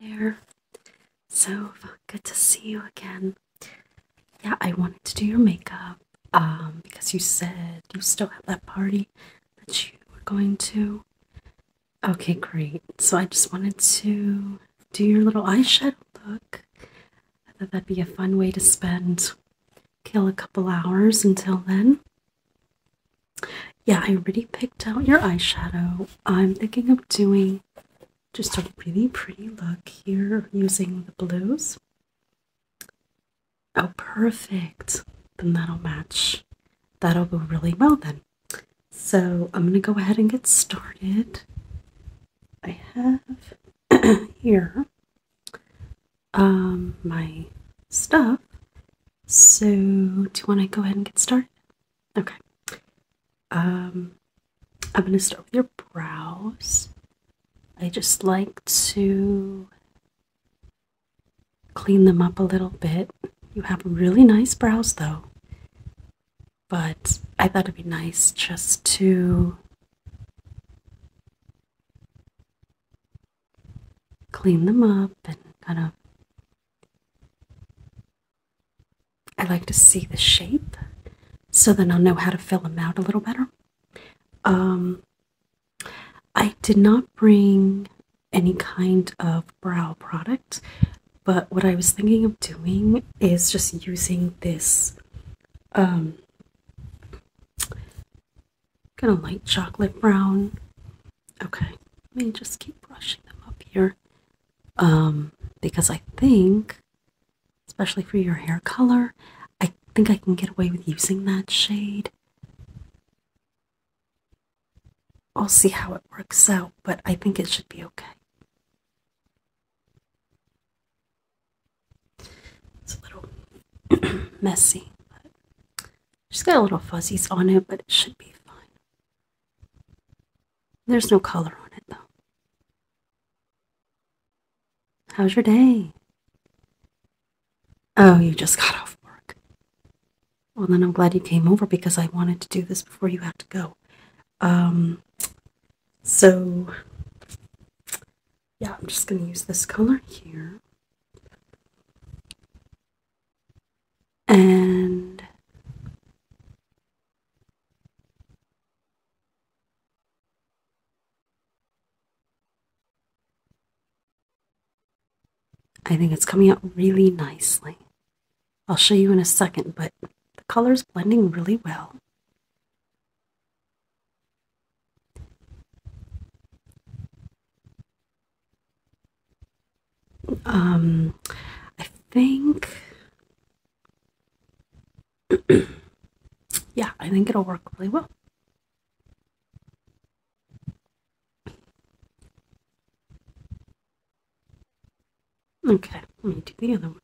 there. So good to see you again. Yeah, I wanted to do your makeup um, because you said you still have that party that you were going to. Okay, great. So I just wanted to do your little eyeshadow look. I thought that'd be a fun way to spend, kill a couple hours until then. Yeah, I already picked out your eyeshadow, I'm thinking of doing just a really pretty look here using the blues. Oh, perfect. Then that'll match. That'll go really well then. So I'm going to go ahead and get started. I have here um, my stuff. So do you want to go ahead and get started? Okay. Um, I'm going to start with your brows. I just like to clean them up a little bit. You have really nice brows though, but I thought it'd be nice just to clean them up and kind of I like to see the shape so then I'll know how to fill them out a little better. Um, I did not bring any kind of brow product, but what I was thinking of doing is just using this um, kind of light chocolate brown Okay, let me just keep brushing them up here. Um, because I think, especially for your hair color, I think I can get away with using that shade. I'll see how it works out, but I think it should be okay. It's a little messy, but just got a little fuzzies on it, but it should be fine. There's no color on it, though. How's your day? Oh, you just got off work. Well, then I'm glad you came over because I wanted to do this before you had to go. Um, so, yeah, I'm just going to use this color here and I think it's coming out really nicely. I'll show you in a second, but the color's blending really well um I think yeah, I think it'll work really well. Okay, let me do the other one.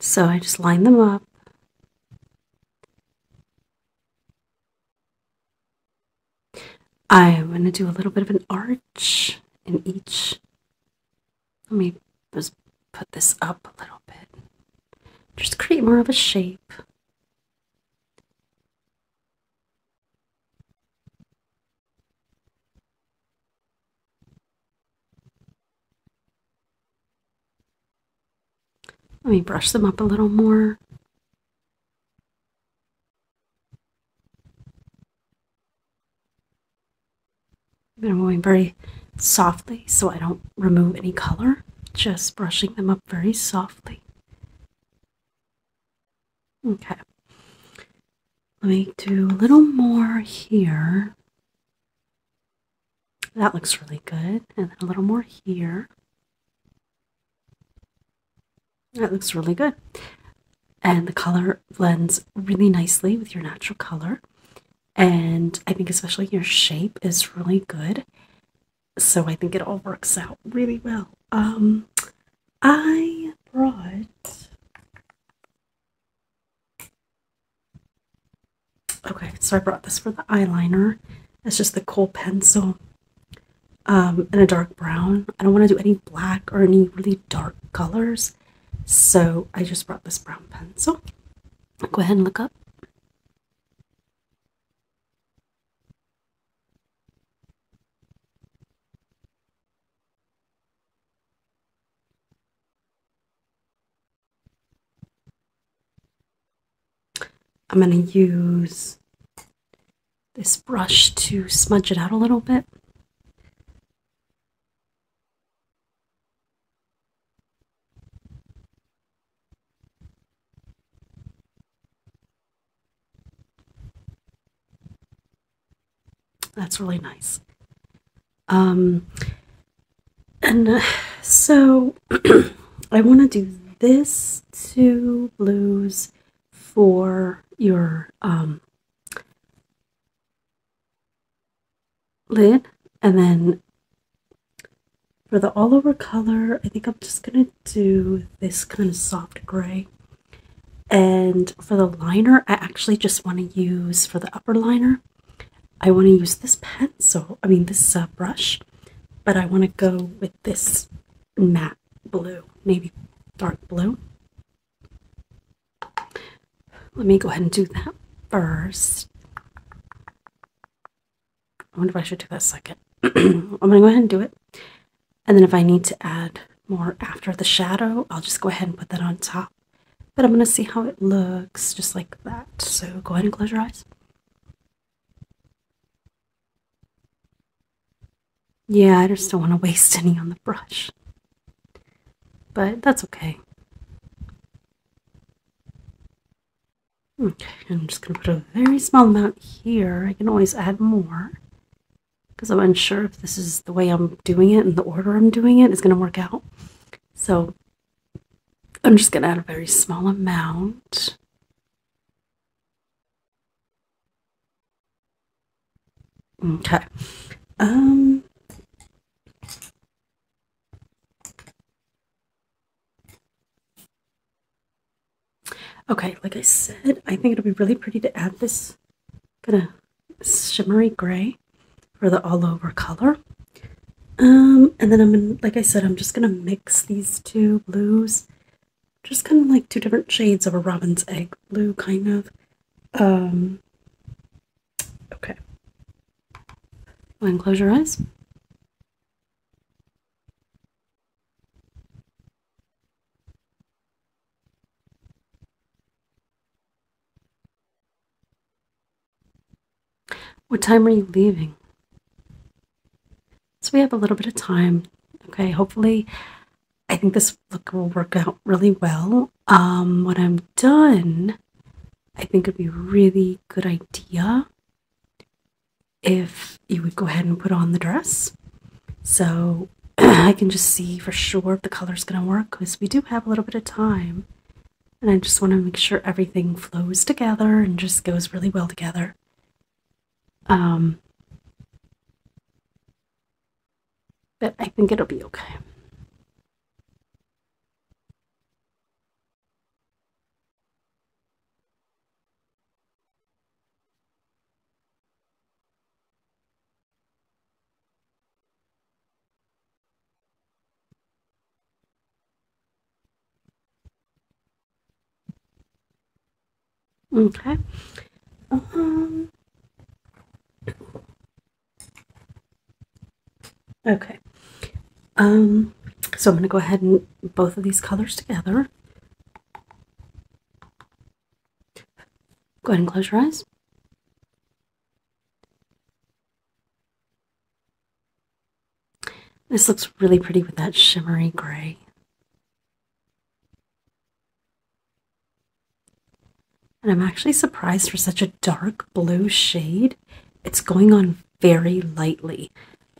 So I just line them up I want to do a little bit of an arch in each. Let me just put this up a little bit. Just create more of a shape. Let me brush them up a little more. And I'm going very softly so I don't remove any color, just brushing them up very softly. Okay, let me do a little more here. That looks really good. And a little more here. That looks really good. And the color blends really nicely with your natural color. And I think, especially, your shape is really good. So I think it all works out really well. Um, I brought Okay, so I brought this for the eyeliner. It's just the Cole pencil um, and a dark brown. I don't want to do any black or any really dark colors. So I just brought this brown pencil. Go ahead and look up. I'm going to use this brush to smudge it out a little bit. That's really nice. Um, and uh, so I want to do this two blues for your um, lid. And then for the all over color, I think I'm just going to do this kind of soft gray. And for the liner, I actually just want to use, for the upper liner, I want to use this pencil, I mean this uh, brush, but I want to go with this matte blue, maybe dark blue. Let me go ahead and do that first. I wonder if I should do that second. I'm going to go ahead and do it. And then if I need to add more after the shadow, I'll just go ahead and put that on top. But I'm going to see how it looks just like that. So go ahead and close your eyes. Yeah, I just don't want to waste any on the brush. But that's okay. Okay, I'm just going to put a very small amount here. I can always add more because I'm unsure if this is the way I'm doing it and the order I'm doing it is going to work out. So I'm just going to add a very small amount. Okay. Um, okay, like I said, I think it'll be really pretty to add this kind of shimmery gray for the all over color. Um, and then I'm gonna, like I said, I'm just gonna mix these two blues. Just kind of like two different shades of a robin's egg blue, kind of. Um, okay. Go and close your eyes. What time are you leaving? So we have a little bit of time. Okay, hopefully, I think this look will work out really well. Um, when I'm done, I think it'd be a really good idea if you would go ahead and put on the dress so I can just see for sure if the color's gonna work because we do have a little bit of time and I just want to make sure everything flows together and just goes really well together. Um, but I think it'll be okay. Okay. Um, okay. Um, so I'm going to go ahead and both of these colors together. Go ahead and close your eyes. This looks really pretty with that shimmery gray. And I'm actually surprised for such a dark blue shade. It's going on very lightly,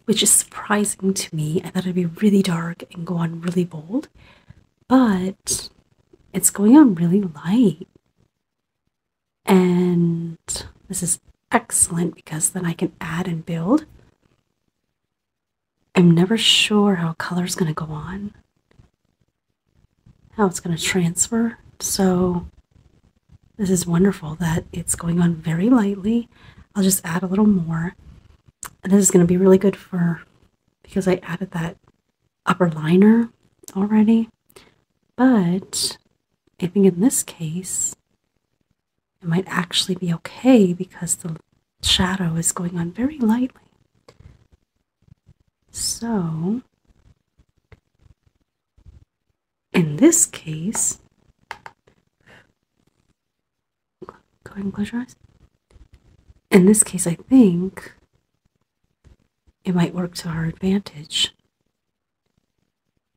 which is surprising to me. I thought it'd be really dark and go on really bold, but it's going on really light. And this is excellent because then I can add and build. I'm never sure how color's going to go on, how it's going to transfer. So, this is wonderful that it's going on very lightly. I'll just add a little more. this is going to be really good for because I added that upper liner already. But I think in this case, it might actually be okay because the shadow is going on very lightly. So, in this case, go ahead In this case, I think it might work to our advantage.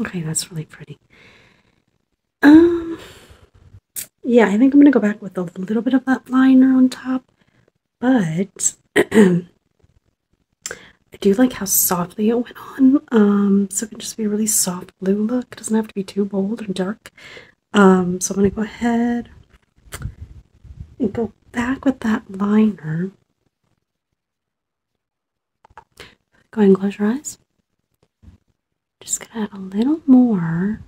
Okay, that's really pretty. Um, yeah, I think I'm gonna go back with a little bit of that liner on top, but I do like how softly it went on. Um, so it can just be really soft blue look. doesn't have to be too bold or dark. Um, so I'm going to go ahead and go back with that liner. Go ahead and close your eyes. Just going to add a little more.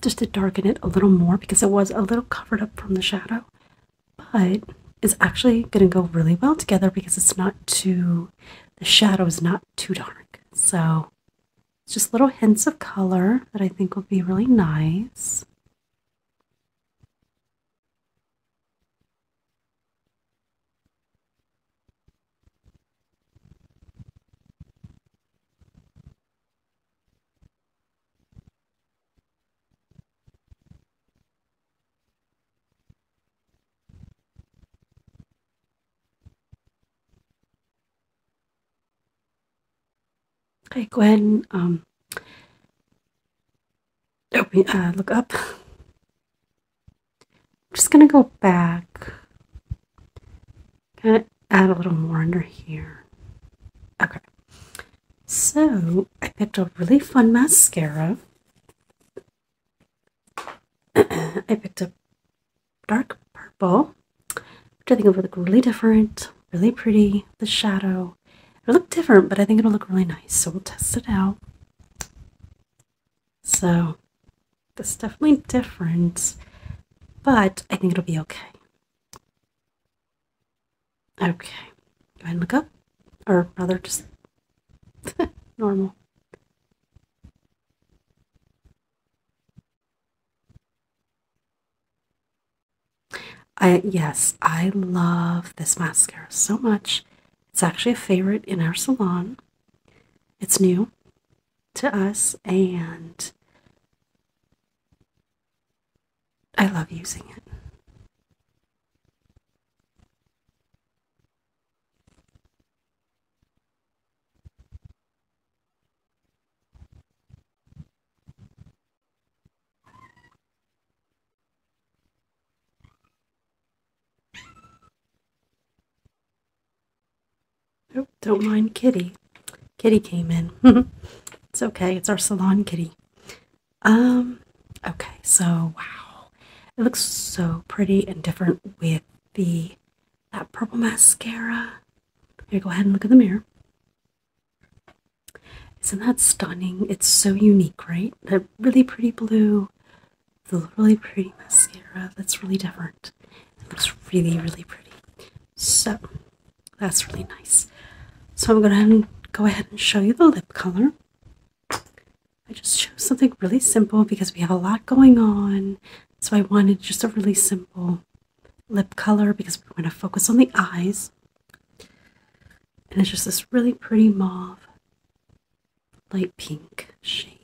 Just to darken it a little more because it was a little covered up from the shadow but it's actually going to go really well together because it's not too, the shadow is not too dark. So it's just little hints of color that I think will be really nice. Okay, Gwen. ahead and um, open, uh, look up. I'm just going to go back. Gonna add a little more under here. Okay. So, I picked a really fun mascara. I picked up dark purple, which I think will look really different, really pretty. The shadow. It'll look different, but I think it'll look really nice. So we'll test it out. So that's definitely different, but I think it'll be okay. Okay, go ahead and look up, or rather just Normal. I yes, I love this mascara so much. It's actually a favorite in our salon. It's new to us and I love using it. Oh, don't mind Kitty. Kitty came in. it's okay. It's our salon kitty. Um, okay, so wow. It looks so pretty and different with the that purple mascara. Here, go ahead and look in the mirror. Isn't that stunning? It's so unique, right? That really pretty blue, the really pretty mascara. That's really different. It looks really, really pretty. So that's really nice. So I'm gonna go ahead and show you the lip color. I just chose something really simple because we have a lot going on. So I wanted just a really simple lip color because we are going to focus on the eyes. And it's just this really pretty mauve, light pink shade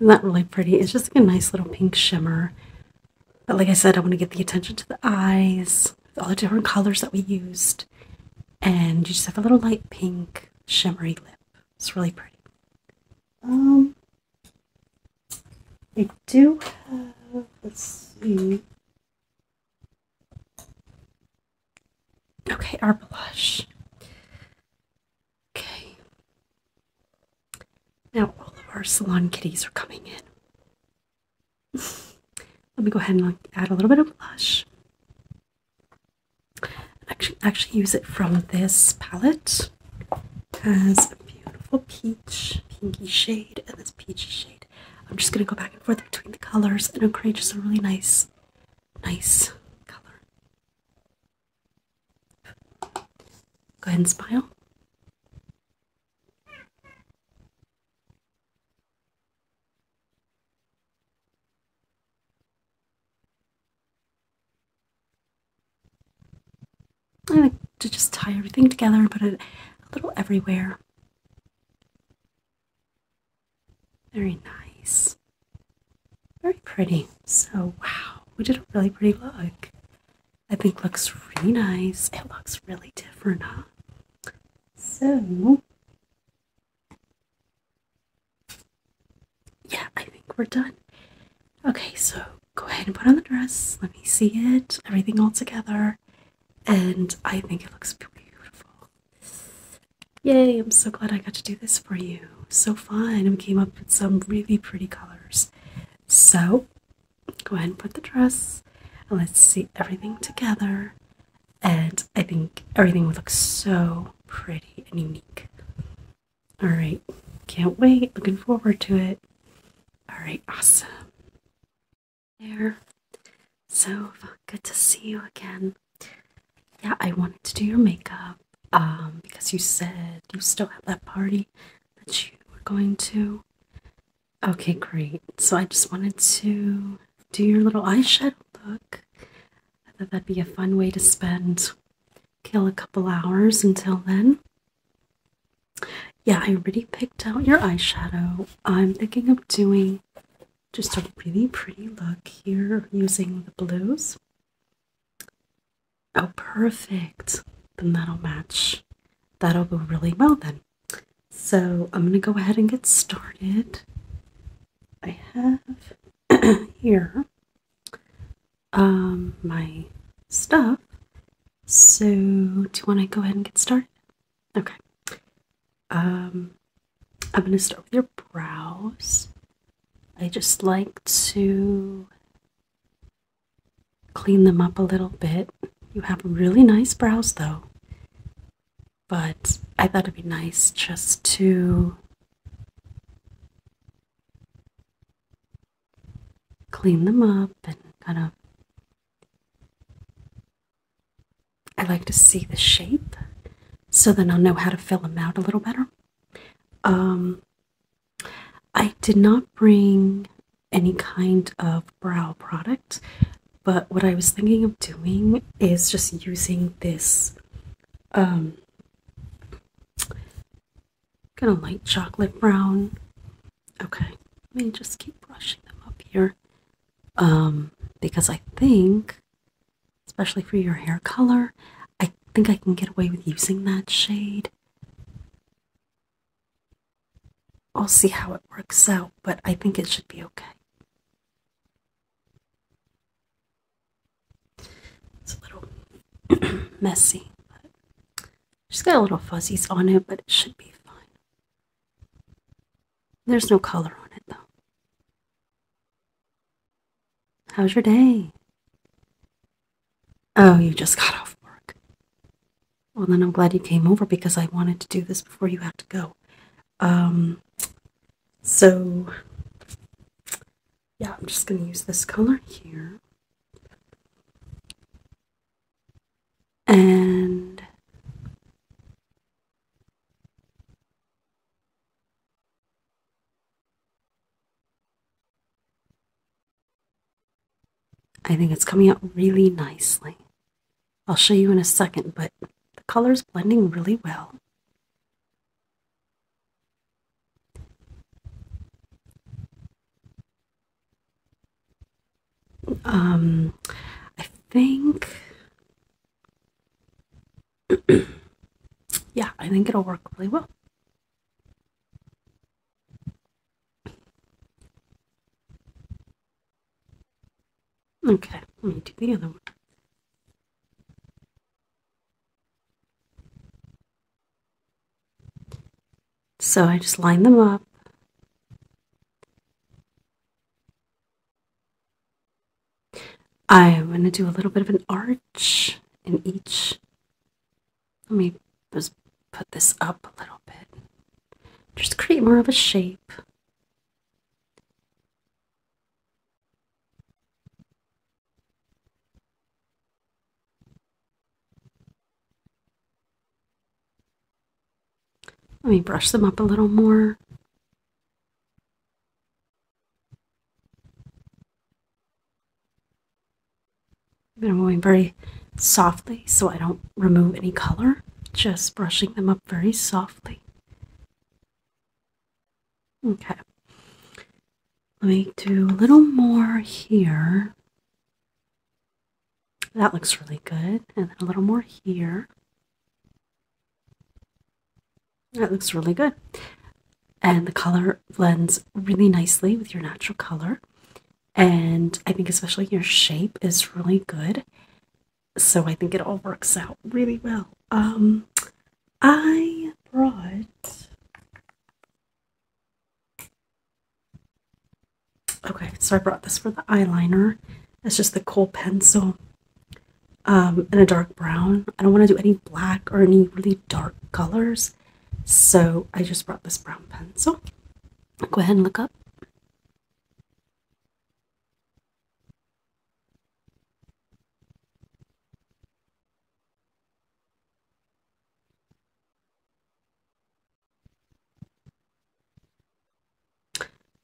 not that really pretty? It's just like a nice little pink shimmer. But like I said, I want to get the attention to the eyes, all the different colors that we used. And you just have a little light pink shimmery lip. It's really pretty. Um, I do have, let's see, Okay, our blush. Okay. Now all of our salon kitties are coming in. Let me go ahead and add a little bit of blush. actually, actually use it from this palette. has a beautiful peach, pinky shade, and this peachy shade. I'm just gonna go back and forth between the colors, and it'll create just a really nice, nice color. Go ahead and smile. I like to just tie everything together and put it a little everywhere. Very nice. Very pretty. So, wow, we did a really pretty look. I think looks really nice. It looks really different, huh? So, yeah, I think we're done. Okay, so go ahead and put on the dress. Let me see it. Everything all together and I think it looks beautiful. Yay, I'm so glad I got to do this for you. So fun, We came up with some really pretty colors. So, go ahead and put the dress, and let's see everything together. And I think everything would look so pretty and unique. All right, can't wait, looking forward to it. All right, awesome there. So good to see you again. Yeah, I wanted to do your makeup um, because you said you still have that party that you were going to. Okay, great. So I just wanted to do your little eyeshadow look. I thought that'd be a fun way to spend kill a couple hours until then yeah, I already picked out your eyeshadow. I'm thinking of doing just a really pretty look here using the blues. Oh, perfect. Then that'll match. That'll go really well then. So I'm going to go ahead and get started. I have here um, my stuff. So do you want to go ahead and get started? Okay. Um, I'm going to start with your brows. I just like to clean them up a little bit. You have really nice brows though, but I thought it'd be nice just to clean them up and kind of I like to see the shape so then I'll know how to fill them out a little better. Um, I did not bring any kind of brow product, but what I was thinking of doing is just using this. Um, kind of light chocolate brown Okay, let me just keep brushing them up here. Um, because I think, especially for your hair color, I think I can get away with using that shade. I'll see how it works out, but I think it should be okay. It's a little messy. But just got a little fuzzies on it, but it should be fine. There's no color on it, though. How's your day? Oh, you just got off work. Well, then I'm glad you came over because I wanted to do this before you had to go. Um, so, yeah, I'm just going to use this color here and I think it's coming out really nicely. I'll show you in a second, but the color is blending really well um, I think, yeah, I think it'll work really well. Okay, let me do the other one. So I just line them up I'm going to do a little bit of an arch in each. Let me just put this up a little bit. Just create more of a shape. Let me brush them up a little more. I'm moving very softly so I don't remove any color, just brushing them up very softly. Okay. Let me do a little more here. That looks really good. And a little more here. That looks really good. And the color blends really nicely with your natural color. And I think especially your shape is really good. So I think it all works out really well. Um I brought Okay, so I brought this for the eyeliner. It's just the Cole pencil um, in a dark brown. I don't want to do any black or any really dark colors, so I just brought this brown pencil. Go ahead and look up.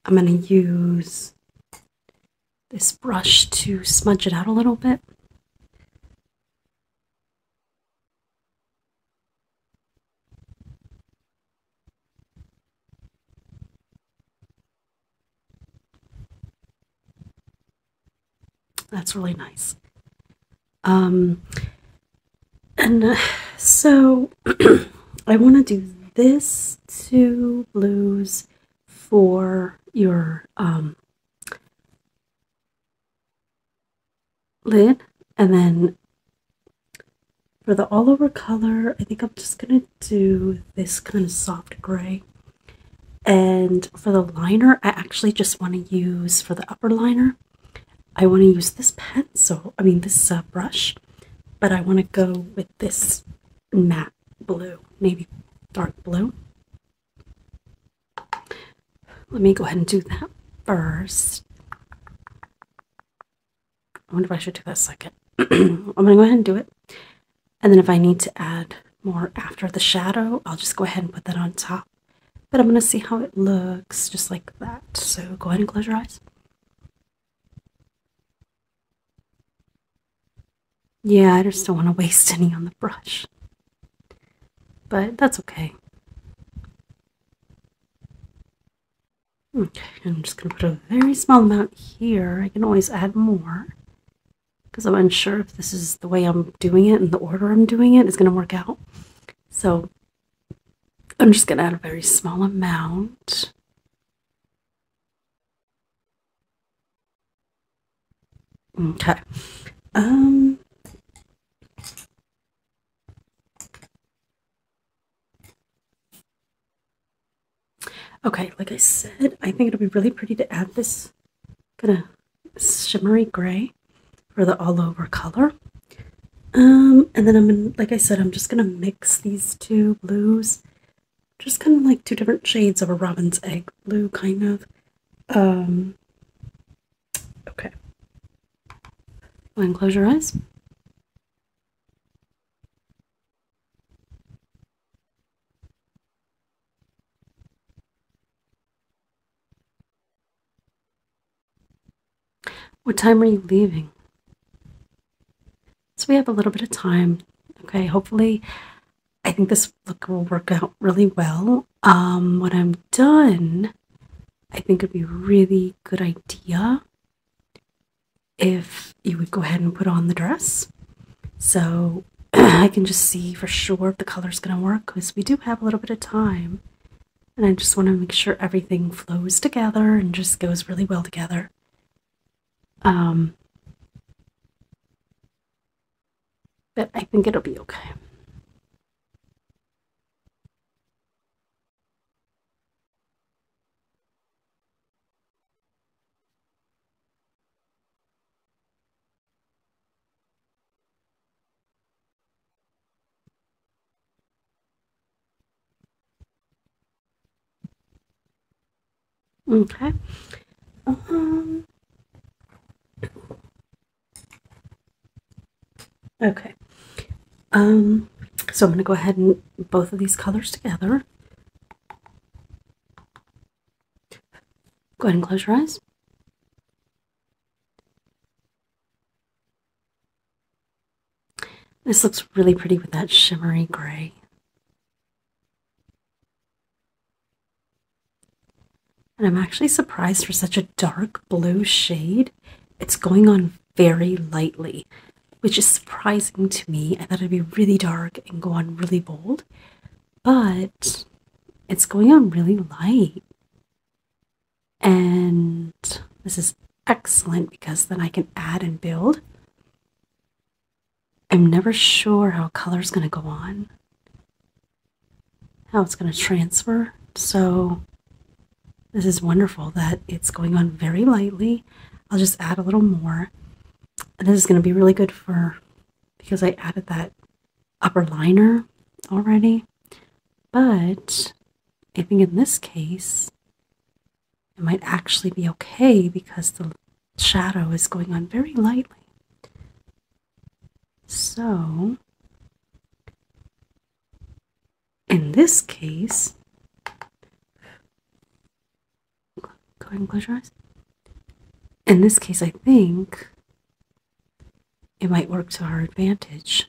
I'm going to use this brush to smudge it out a little bit. That's really nice. Um, and uh, so I want to do this two blues for your um, lid. And then for the all over color, I think I'm just going to do this kind of soft gray. And for the liner, I actually just want to use, for the upper liner, I want to use this pencil, I mean this uh, brush but I want to go with this matte blue, maybe dark blue. Let me go ahead and do that first. I wonder if I should do that second. I'm going to go ahead and do it. And then if I need to add more after the shadow, I'll just go ahead and put that on top. But I'm going to see how it looks just like that. So go ahead and close your eyes. Yeah, I just don't want to waste any on the brush. But that's okay. Okay, I'm just going to put a very small amount here. I can always add more. Because I'm unsure if this is the way I'm doing it and the order I'm doing it is going to work out. So I'm just going to add a very small amount. Okay. Um, okay, like I said, I think it'll be really pretty to add this kind of shimmery gray for the all over color. Um, and then I'm gonna, like I said, I'm just gonna mix these two blues, just kind of like two different shades of a robin's egg blue, kind of. Um, okay. Go and close your eyes. What time are you leaving? So we have a little bit of time. Okay, hopefully, I think this look will work out really well. Um, when I'm done, I think it'd be a really good idea if you would go ahead and put on the dress so I can just see for sure if the color's gonna work because we do have a little bit of time and I just want to make sure everything flows together and just goes really well together. Um, but I think it'll be okay. Okay. Um, okay. Um, so I'm going to go ahead and both of these colors together. Go ahead and close your eyes. This looks really pretty with that shimmery gray. And I'm actually surprised for such a dark blue shade. It's going on very lightly, which is surprising to me. I thought it'd be really dark and go on really bold, but it's going on really light. And this is excellent because then I can add and build. I'm never sure how color's going to go on, how it's going to transfer. So, this is wonderful that it's going on very lightly. I'll just add a little more. this is going to be really good for because I added that upper liner already. But I think in this case, it might actually be okay because the shadow is going on very lightly. So, in this case, go ahead and close your eyes. In this case, I think it might work to our advantage.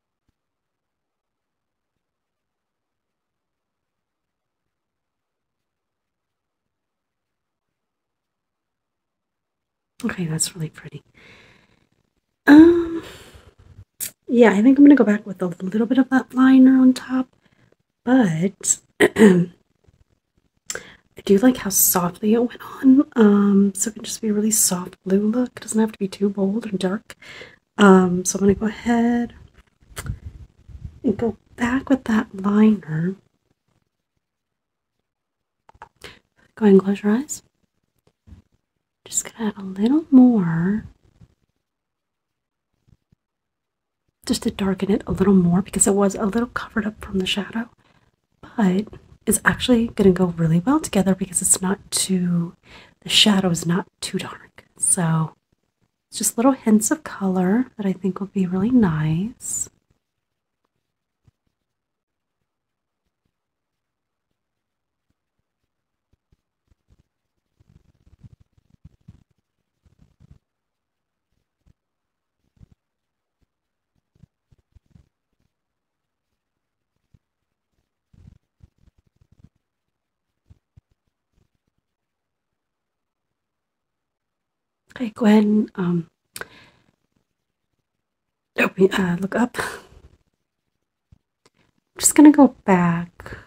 Okay, that's really pretty. Um, yeah, I think I'm gonna go back with a little bit of that liner on top, but I do like how softly it went on. Um, so it can just be really soft blue look. doesn't have to be too bold or dark. Um, so I'm going to go ahead and go back with that liner. Go ahead and close your eyes. Just going to add a little more just to darken it a little more because it was a little covered up from the shadow but it's actually going to go really well together because it's not too, the shadow is not too dark. So it's just little hints of color that I think will be really nice. Okay, Gwen. ahead um, oh, uh, look up. I'm just going to go back,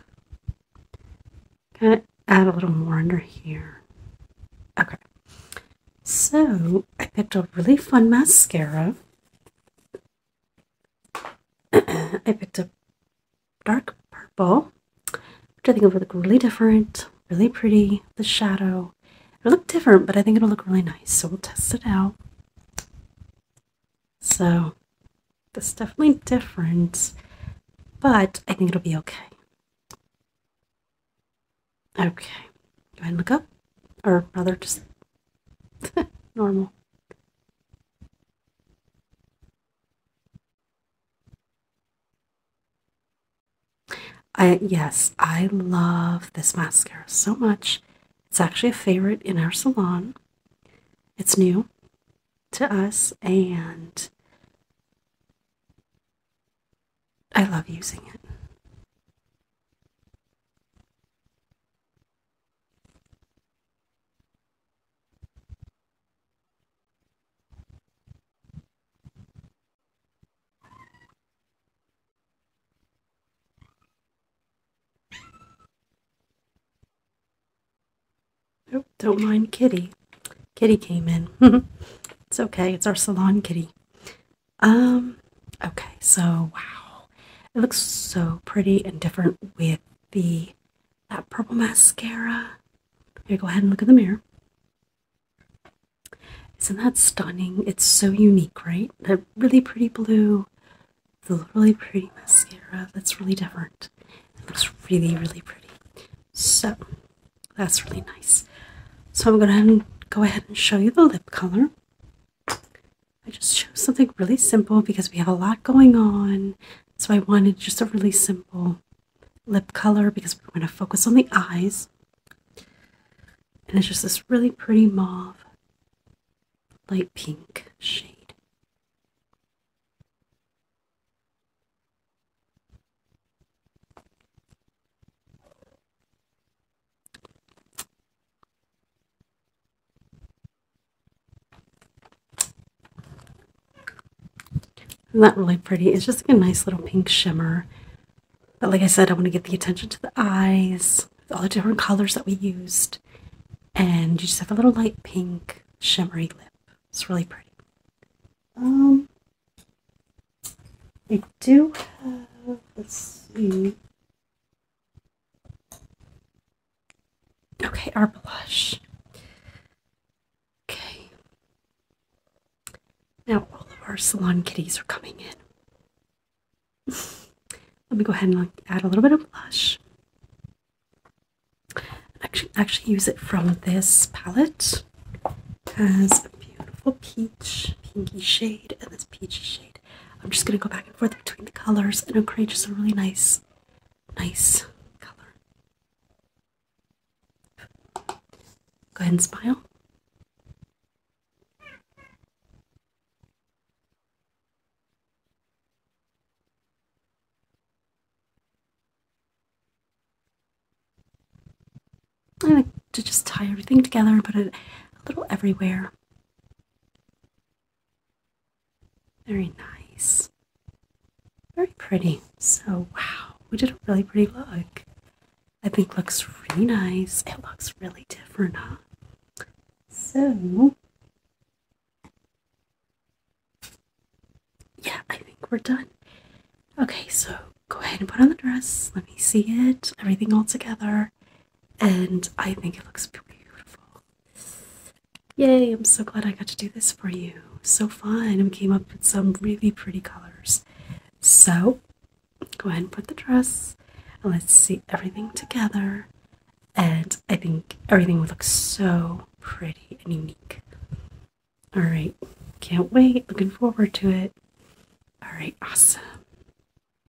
kind of add a little more under here. Okay, so I picked a really fun mascara I picked a dark purple, which I think will look really different, really pretty. The shadow. It'll look different, but I think it'll look really nice. So we'll test it out. So that's definitely different, but I think it'll be okay. Okay, go ahead and look up, or rather just Normal. I, yes, I love this mascara so much. It's actually a favorite in our salon. It's new to us, and I love using it don't mind Kitty. Kitty came in. it's okay. It's our salon kitty. Um, okay, so wow. It looks so pretty and different with the that purple mascara. Here, go ahead and look in the mirror. Isn't that stunning? It's so unique, right? That really pretty blue, the really pretty mascara. That's really different. It looks really, really pretty. So that's really nice. So I'm gonna go ahead and show you the lip color. I just chose something really simple because we have a lot going on. So I wanted just a really simple lip color because we're going to focus on the eyes. And it's just this really pretty mauve, light pink shade. Isn't really pretty? It's just like a nice little pink shimmer. But like I said, I want to get the attention to the eyes, all the different colors that we used. And you just have a little light pink shimmery lip. It's really pretty. Um, I do have, let's see, Okay, our blush. Okay. Now all of our salon kitties are coming in. Let me go ahead and add a little bit of blush. Actually, actually use it from this palette. It has a beautiful peach, pinky shade, and this peachy shade. I'm just gonna go back and forth between the colors, and it'll create just a really nice, nice color. Go ahead and smile. I like to just tie everything together and put it a little everywhere. Very nice. Very pretty. So, wow, we did a really pretty look. I think looks really nice. It looks really different, huh? So, yeah, I think we're done. Okay, so go ahead and put on the dress. Let me see it. Everything all together and I think it looks beautiful. Yay, I'm so glad I got to do this for you. So fun, We came up with some really pretty colors. So, go ahead and put the dress, and let's see everything together. And I think everything would look so pretty and unique. All right, can't wait, looking forward to it. All right, awesome.